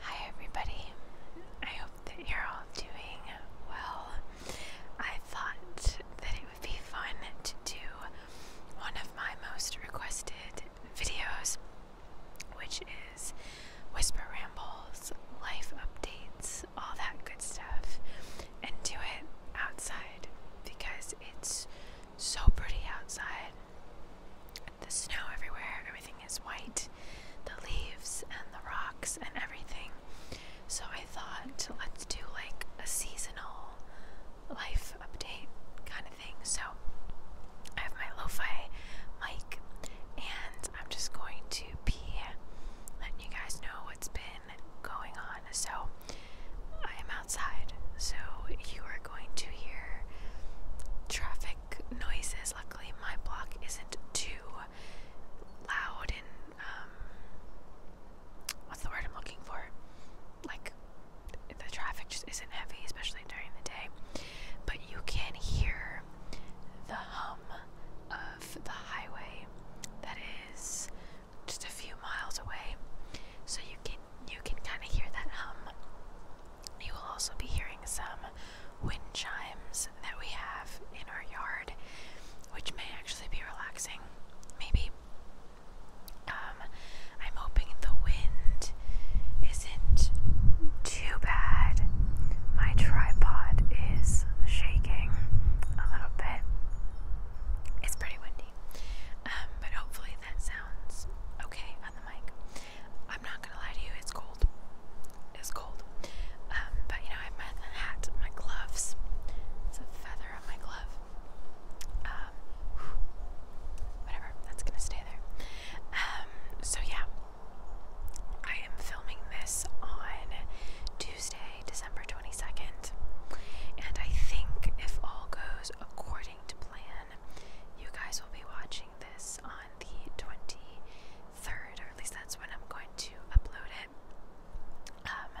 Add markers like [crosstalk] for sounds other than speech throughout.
Hi, everybody. I hope that you're all doing well. I thought that it would be fun to do one of my most requested videos, which is Whisper Rambles, life updates, all that good stuff, and do it outside because it's so pretty outside the snow everywhere, everything is white, the leaves and the rocks and everything. So I thought, let's do like a seasonal life update kind of thing. So I have my lo fi mic, and I'm just going to be letting you guys know what's been going on. So I am outside, so you are going to hear traffic noises. Luckily, my block isn't too loud and um, what's the word I'm looking for? Like the traffic just isn't heavy, especially during the day. But you can hear the hum of the highway that is just a few miles away. So you can you can kind of hear that hum you will also be hearing some wind chimes that we have in our yard, which may actually be relaxing. Maybe. Um, I'm hoping the wind isn't too bad. My tripod is shaking a little bit. It's pretty windy. Um, but hopefully that sounds okay on the mic. I'm not gonna lie to you, it's cold. It's cold. Um, but you know, I have my hat, my gloves. It's a feather on my glove. Um, whatever, that's gonna stay there. Um, so yeah, I am filming this on Tuesday, December 22nd. And I think if all goes according to plan, you guys will be watching this on the 23rd, or at least that's when I'm going to upload it. Um,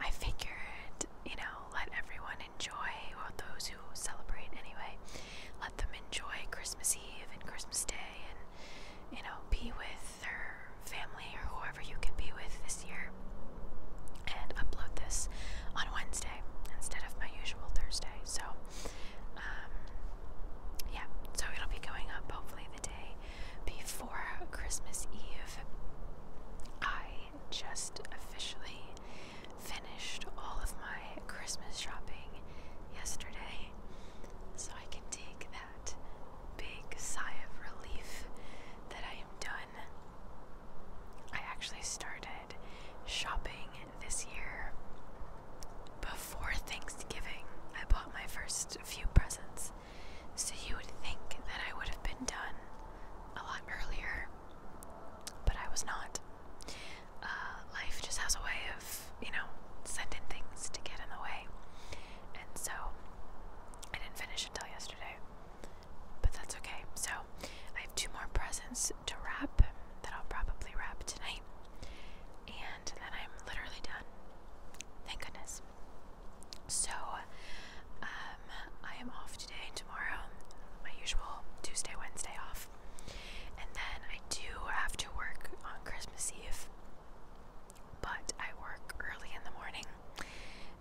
I figured, you know, let everyone enjoy, or those who celebrate anyway, let them enjoy Christmas Eve and Christmas Day and, you know, be with their family or whoever you can be with this year and upload this on Wednesday instead of my usual Thursday. So um, yeah, so it'll be going up hopefully the day before Christmas Eve. I just officially finished all of my Christmas shopping yesterday, so I can take that big sigh of relief that I am done. I actually started shopping this year before Thanksgiving. I bought my first few presents, so you would think that I would have been done a lot earlier, but I was not. Uh, life just has a way of, you know, sending things to get in the way, and so I didn't finish until yesterday. But that's okay. So I have two more presents to wrap that I'll probably wrap tonight. And then I'm literally done. Thank goodness. So, um, I am off today and tomorrow, my usual Tuesday, Wednesday off. And then I do have to work on Christmas Eve, but I work early in the morning.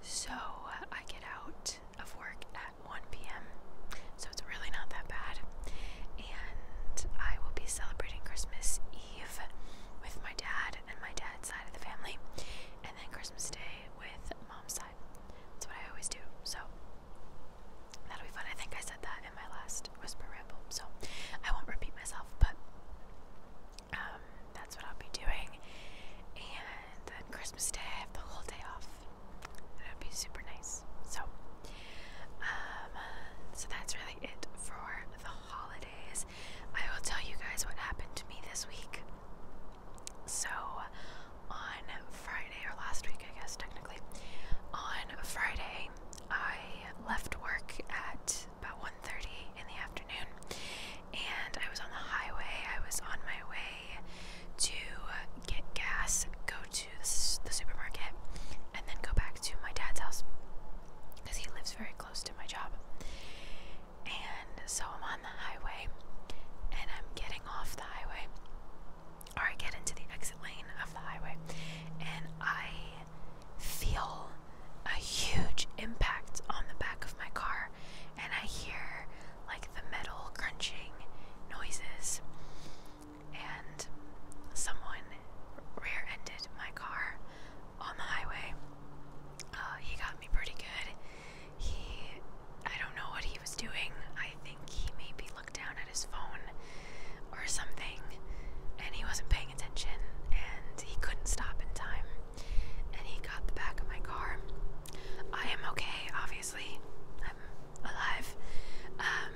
So, I get out of work 1 p.m., so it's really not that bad. And I will be celebrating Christmas Eve with my dad and my dad's side of the family, and then Christmas Day with mom's side. That's what I always do, so that'll be fun. I think I said that in my last Whisper Ramble, so I won't repeat myself, but um, that's what I'll be doing. And then Christmas Day, I have the whole day off, That'd be super nice. So, um, so that's really it for the holidays. I will tell you guys what happened to me this week. So, on Friday, or last week, I guess, technically, on Friday, I left work at about 1.30 in the afternoon, and I was on the highway. I was on my way to get gas, go to the supermarket, and then go back to my dad's house because he lives very close to my job. And so I'm on the highway and I'm getting off the highway, or I get into the exit lane of the highway, and I feel a huge impact on the back of my car, and I hear like the metal crunching noises and someone rear ended my car on the highway. Uh, he got me pretty good. He, I don't know what he was doing. I think he maybe looked down at his phone or something, and he wasn't paying attention, and he couldn't stop in time. And he got the back of my car. I am okay, obviously. I'm alive. Um,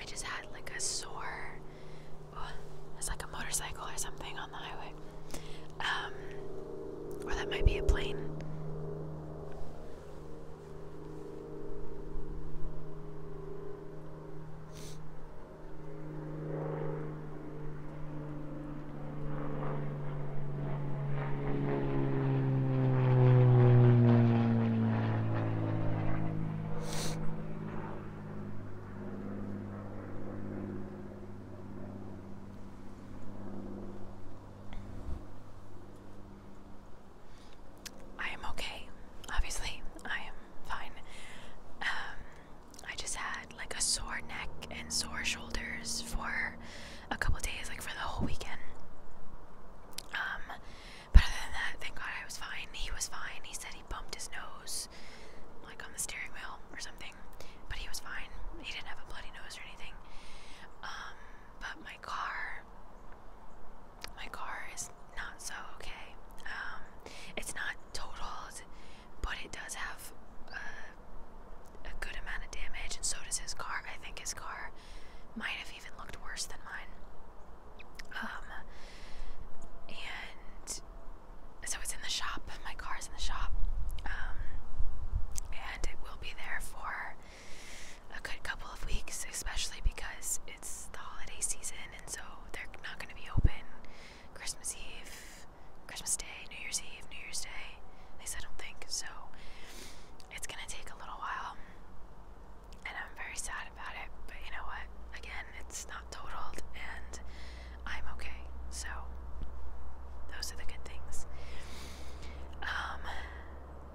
I just had like a sore. it's like a motorcycle or something on the highway. Um, or that might be a plane. I am okay. Obviously, I am fine. Um, I just had like a sore neck and sore shoulders for a couple days, like for the whole weekend. Um, but other than that, thank God I was fine. He was fine. He said he bumped his nose, like on the steering wheel or something. But he was fine. He didn't have a bloody nose or anything. Um, but my car, my car is not so okay. Um, it's not totaled, but it does have a, uh, a good amount of damage, and so does his car. I think his car might have even looked worse than mine. Um, and so it's in the shop. My car's in the shop. Um, and it will be there for a good couple of weeks, especially because it's the holiday season, and so they're not going to be open Christmas Eve, Christmas Day, New Year's Eve, New Year's Day. At least I don't think so it's gonna take a little while, and I'm very sad about it. But you know what? Again, it's not totaled, and I'm okay. So those are the good things. Um,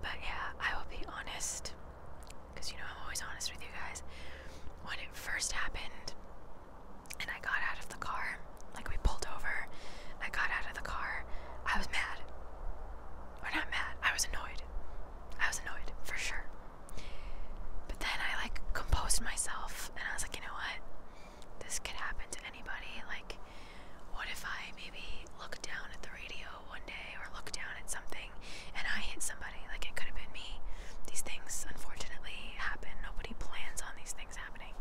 but yeah, I will be honest, because you know I'm always honest with you guys. When it first happened, and I got out of the car, like we pulled over, I got out of the car. I was mad. Or not mad. I was annoyed. I was annoyed, for sure. But then I like composed myself and I was like, you know what? This could happen to anybody. Like, what if I maybe look down at the radio one day or look down at something and I hit somebody? Like, it could have been me. These things, unfortunately, happen. Nobody plans on these things happening.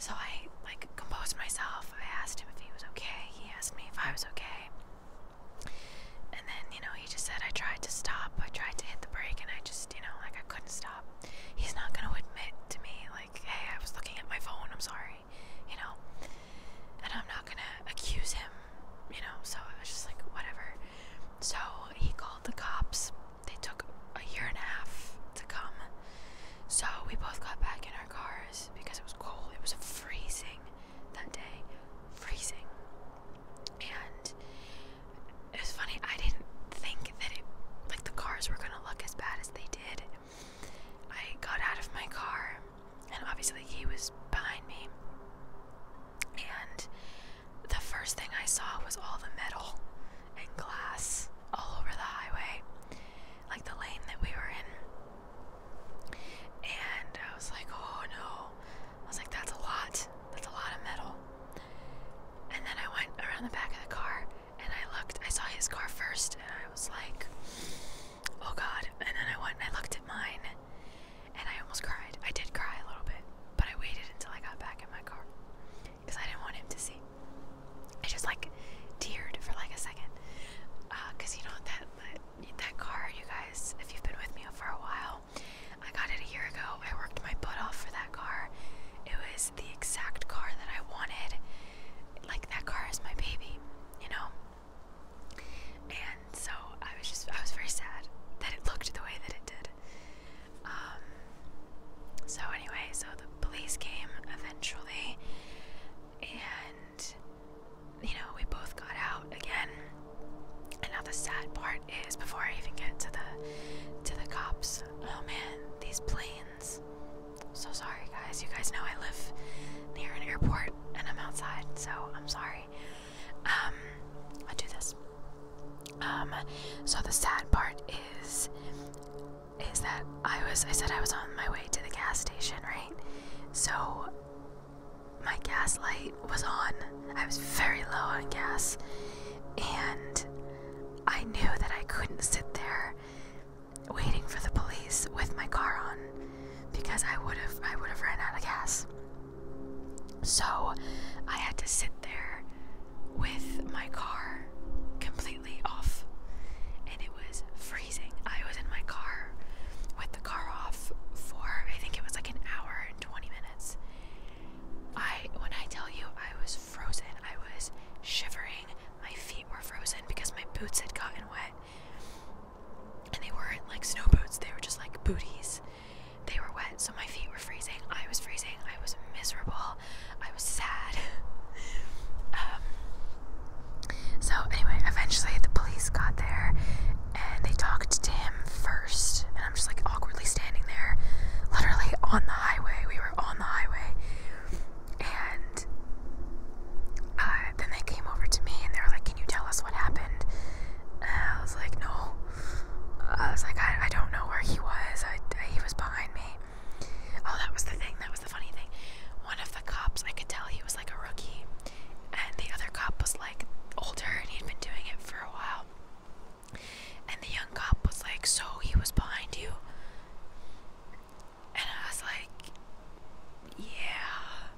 So I like composed myself. I asked him if he was okay. He asked me if I was okay away. And then, you know, he just said, I tried to stop. I tried to hit the brake and I just, you know, like I couldn't stop. He's not going to admit to me, like, hey, I was looking at my phone. I'm sorry, you know. And I'm not going to accuse him, you know. So I was just like, whatever. So he called the cops. They took a year and a half to come. So we both got back in our cars because it was cold. It was freezing that day, freezing. And it was funny, I didn't think that it, like the cars were gonna look as bad as they did. I got out of my car, and obviously he was behind me. And the first thing I saw was all the metal and glass all over the highway, like the lane that we were in. And I was like, oh no. I was like, that's a lot. That's a lot of metal. And then I went around the back of the car and I looked. I saw his car first and I was like, oh God. And then I went and I looked at mine and I almost cried. I did cry a little bit, but I waited until I got back in my car because I didn't want him to see. I just like teared for like a second because uh, you know that that car, you guys, if you've been with me for a while, I got it a year ago. I worked my butt off for that car. It was the exact car that I wanted. Like that car is my baby, you know? And so I was just I was very sad that it looked the way that it did. Um so anyway, so the police came eventually and you know, we both got out again. And now the sad part is, before I even get to the to the cops, oh man, these planes. So sorry, guys. You guys know I live near an airport and I'm outside, so I'm sorry. Um, i do this. Um, so the sad part is, is that I was I said I was on my way to the gas station, right? So my gas light was on. I was very low on gas. And I knew that I couldn't sit there waiting for the police with my car on because I would have I would have ran out of gas. So I had to sit there with my car completely off and it was freezing I was in my car with the car off for I think it was like an hour and 20 minutes. I when I tell you I was frozen, I was shivering. My feet were frozen because my boots had gotten wet. And they weren't like snow boots, they were just like booties. They were wet, so my feet were freezing. I was freezing. I was miserable. I was sad. [laughs] Um, so, anyway, eventually the police got there and they talked to him first. And I'm just like awkwardly standing there, literally on the highway. We were on the highway. And uh, then they came over to me and they were like, Can you tell us what happened? And I was like, No. I was like, I, I don't know where he was. I, he was behind me. Oh, that was the thing. That was the funny thing. One of the cops, I could tell he was like a rookie and the other cop was like older and he'd been doing it for a while. And the young cop was like, So he was behind you? And I was like, Yeah.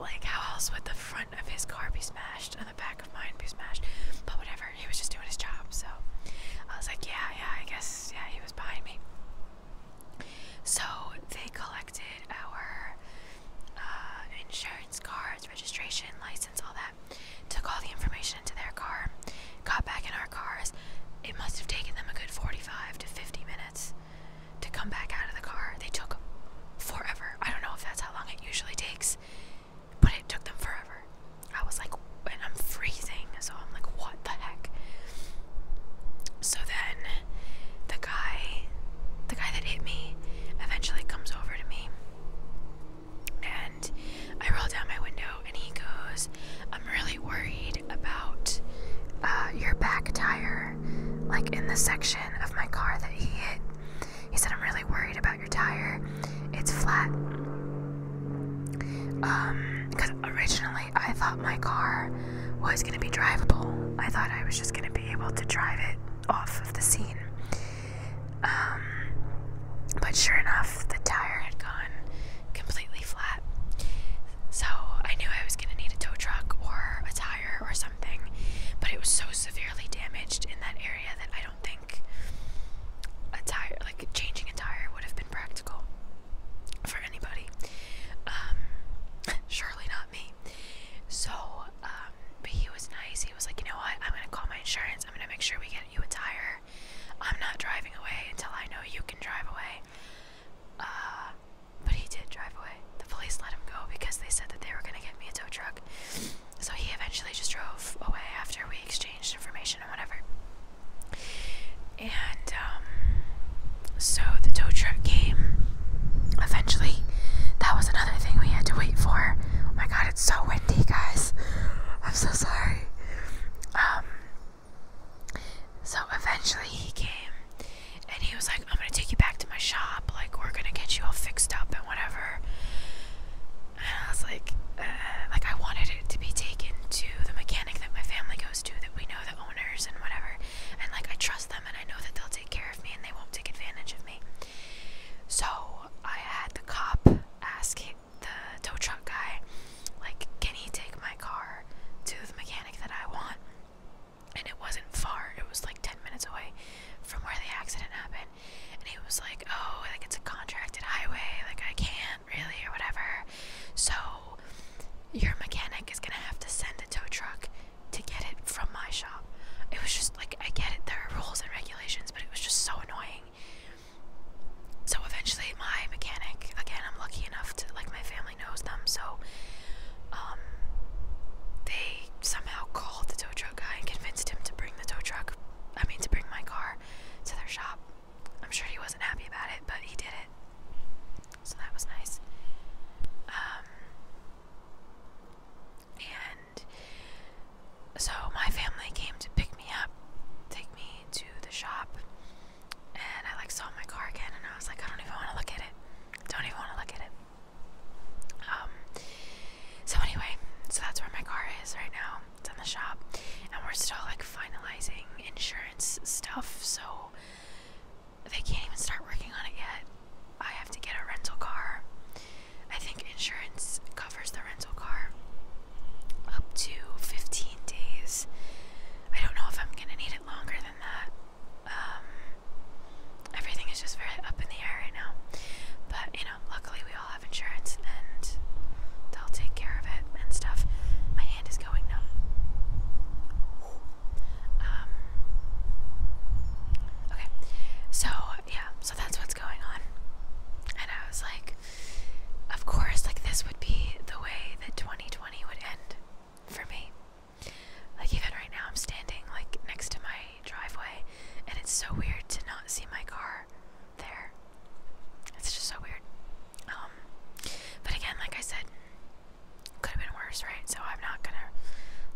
Like, how else would the front of his car be smashed and the back of mine be smashed? But whatever, he was just doing his job. So I was like, Yeah, yeah, I guess, yeah, he was behind me. So they collected our uh, insurance cards, registration, license, all that. Took all the information into their car, got back in our cars. It must have taken them a good 45 to 50 minutes to come back out of the car. They took forever. I don't know if that's how long it usually takes, but it took them forever. I was like, and I'm freezing, so I'm like, what the heck? So then the guy, the guy that hit me, eventually comes over to me. And I roll down my window, and he goes, I'm really worried about uh, your back tire, like in the section of my car that he hit. He said, I'm really worried about your tire. It's flat. Um, because originally I, thought my car was going to be drivable. I thought I was just going to be able to drive it off of the scene. Um, but sure enough, the tire had gone completely flat. So I knew I was going to need a tow truck or a tire or something. But it was so severely damaged in that area that I don't think a tire, like changing a tire, would have been practical for anybody. Um, [laughs] surely not me. So, um, but he was nice. He was like, you know what? I'm gonna call my insurance. I'm gonna make sure we get you a tire. I'm not driving away until I know you can drive away. Uh, but he did drive away. The police let him go because they said that they were gonna get me a tow truck. So he eventually just drove away after we exchanged information and whatever. And um, so the tow truck came eventually. That was another thing we had to wait for. Oh my god, it's so windy, guys. I'm so sorry. Um, so eventually he came and he was like, I'm gonna take you back to my shop. Like, we're gonna get you all fixed up and whatever. And I was like, uh, like I wanted it to be taken to the mechanic that my family goes to, that we know the owners and whatever and like I trust them and I know that they'll take care of me and they won't take advantage of me. So I had the cop ask the tow truck guy, like, can he take my car to the mechanic that I want? And it wasn't far, it was like 10 minutes away from where the accident happened. And he was like, oh, like it's a contracted highway, like I can't really, or whatever. So your mechanic is gonna have to send a tow truck to get it from my shop. It was just like, I get it, there are rules and regulations, but it was just so annoying. So eventually, my mechanic, again, I'm lucky enough to, like, my family knows them, so um, they somehow called the tow truck guy and convinced him to bring the tow truck, I mean, to bring my car to their shop. I'm sure he wasn't happy about it, but he did it. So that was nice. Um, and so my family came to pick me up, take me to the shop, and I like saw my car again, and I was like, I don't even want to look at it. Don't even want to look at it. Um. So anyway, so that's where my car is right now. It's in the shop, and we're still like finalizing insurance stuff. So they can't even start working on it yet. I have to get a rental car. I think insurance covers the rental car up to 15 days. I don't know if I'm gonna need it longer than that. Um, everything is just very up in the air right now. But you know, luckily we all have insurance and they'll take care of it and stuff. My hand is going numb. Um, okay, so yeah, so that's what's going on. And I was like, of course, like this would be the way that 2020 would end for me. Like, even right now, I'm standing like next to my driveway, and it's so weird to not see my car there. It's just so weird. Um, but again, like I said, could have been worse, right? So I'm not gonna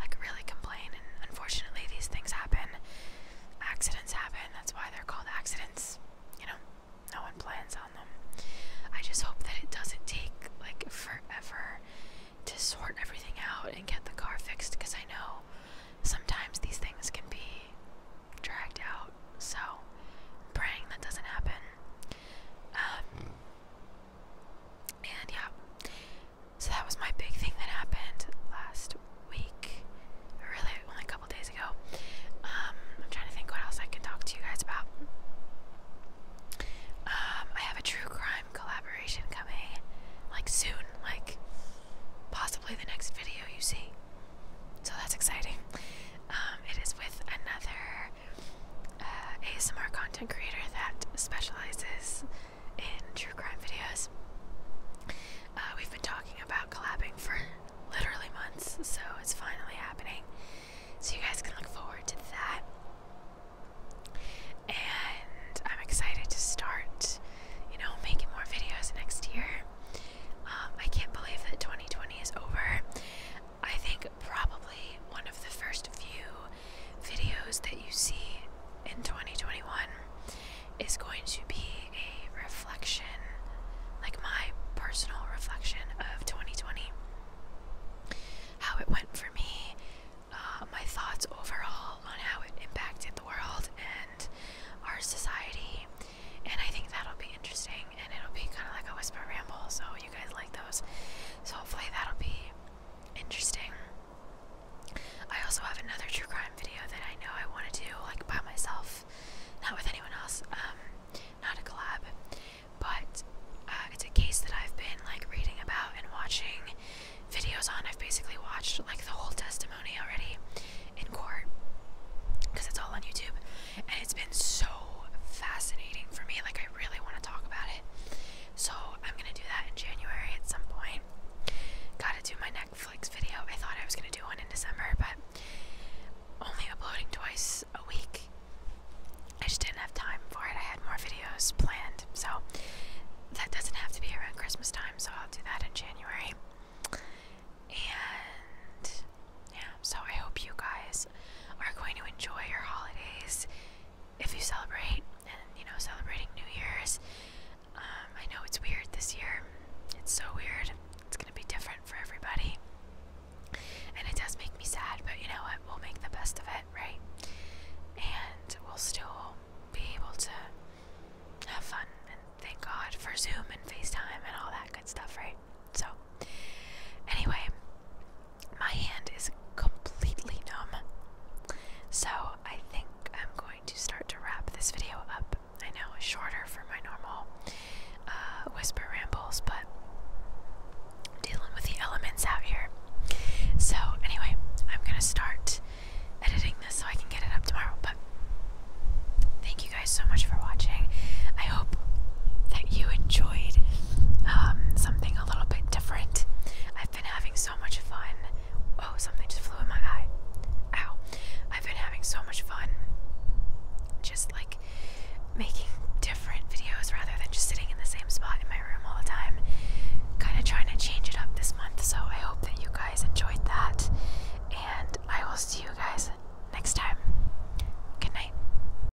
like really complain. And unfortunately, these things happen. Accidents happen. That's why they're called accidents. You know, no one plans on them. I just hope that it doesn't take like forever to sort everything out and get the car fixed because I know sometimes these things can be dragged out. So, praying that doesn't happen. Um, and yeah, so that was my big thing that happened last week, really only a couple days ago. Um, I'm trying to think what else I can talk to you guys about. Um, I have a true crime collaboration coming, like soon, like possibly the next video you see. So that's exciting. Um, it is with another uh, ASMR content creator that specializes in true crime videos. Uh, we've been talking about collabing for literally months, so it's finally happening. So you guys can look forward to that. And I'm excited to start, you know, making more videos next year. Um, I can't believe that 2020 is over. I think probably one of the first few videos that you see in 2021 is going to be a reflection, like my personal reflection of 2020. How it went for me, uh, my thoughts overall on how it impacted the world and our society. And I think that'll be interesting and it'll be kind of like a whisper ramble. So, you guys like those. So, hopefully, that'll be interesting. I also have another true crime video that I know I want to do, like by myself, not with anyone else, um, not a collab, but uh, it's a case that I've been like reading about and watching videos on. I've basically watched like the whole testimony already in court because it's all on YouTube and it's been so fascinating for me. Like, I really want to talk about it. So, I'm going to do that in January at some point. Gotta do my Netflix video. I thought I was going to do one in December, but only uploading twice a week. I just didn't have time for it. I had more videos planned. So, that doesn't have to be around Christmas time, so I'll do that in January. And yeah, so I hope you guys we are going to enjoy our holidays if you celebrate and you know celebrating New Year's. Um, I know it's weird this year. It's so weird. It's gonna be different for everybody. And it does make me sad, but you know what? We'll make the best of it, right? And we'll still be able to have fun and thank God for Zoom and FaceTime and all that good stuff, right? So, anyway, my hand is completely numb. So, I think I'm going to start to wrap this video up. I know shorter for my normal uh, whisper rambles, but dealing with the elements out here. So, anyway, I'm going to start editing this so I can get it up tomorrow. But thank you guys so much for watching. I hope that you enjoyed um, something a little bit different. I've been having so much fun. Oh, something just flew in my eye. Ow. I've been having so much fun just like making different videos rather than just sitting in the same spot in my room all the time. Kind of trying to change it up this month. So I hope that you guys enjoyed that. And I will see you guys next time. Good night.